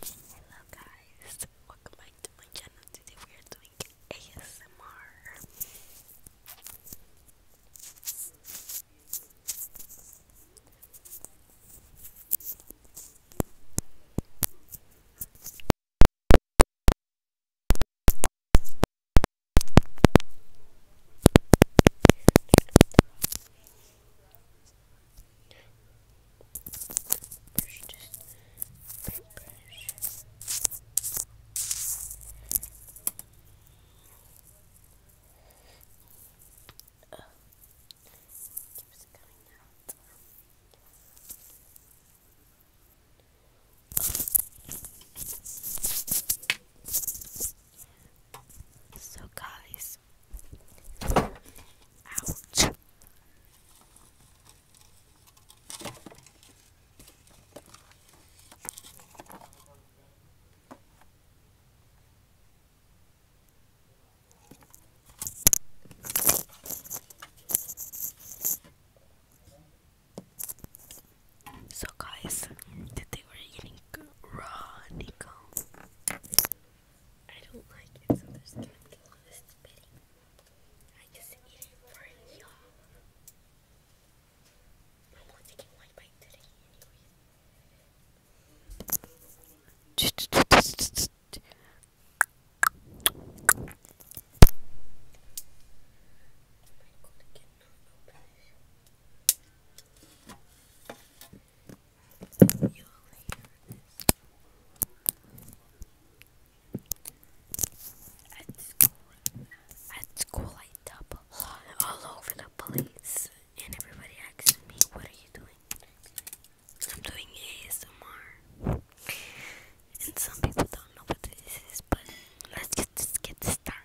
Hello guys, welcome back to my channel. Today we are doing ASMR brush just oh. keeps coming out oh. So, guys, ouch. So, guys, the thing we eating Radical. I don't like it, so there's gonna be a lot I just eat for y'all. i taking one bite today, At school, I double all over the place, and everybody asks me, "What are you doing?" I'm doing ASMR, and some people don't know what this is, but let's get, get started.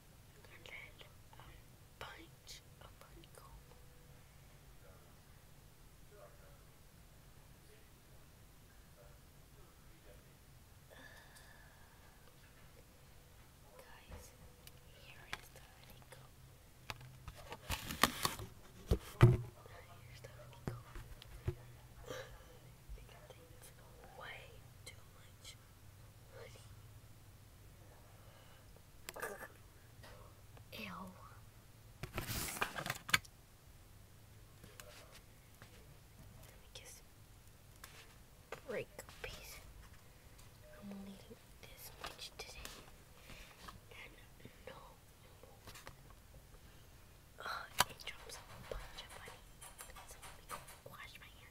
and then um, uh, guys, here is the honeycomb. Here's the honeycomb. it contains way too much hoodie. Let me just break a piece. I'm only this much today. And no uh, it drops a bunch of money. So let me wash my hands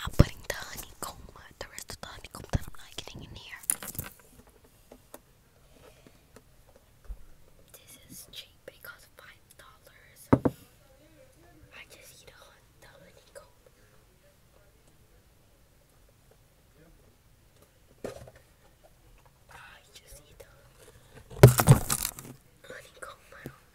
I'm putting the honeycomb, uh, the rest of the honeycomb that I'm not getting in here. This is cheap because five dollars. I just eat a hot dog I just eat a honeycomb. I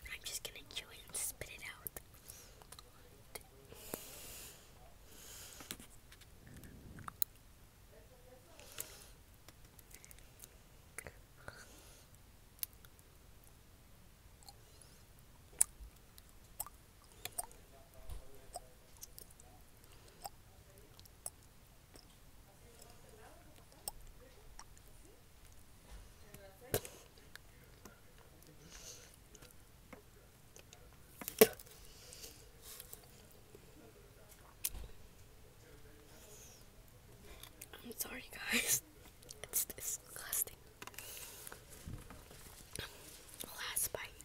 I'm just gonna chew it and spit it out. I'm sorry guys. It's disgusting. Last bite.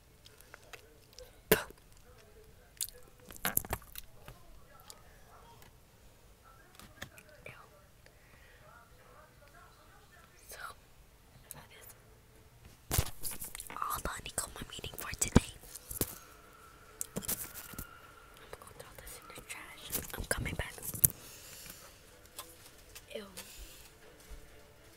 So that is all the honeycomb I'm for today. I'm gonna throw this in trash. I'm coming back. Ew.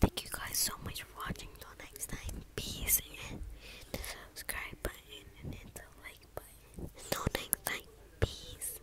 Thank you guys so much for watching. Till next time, peace and the subscribe button and the like button. Till next time, peace.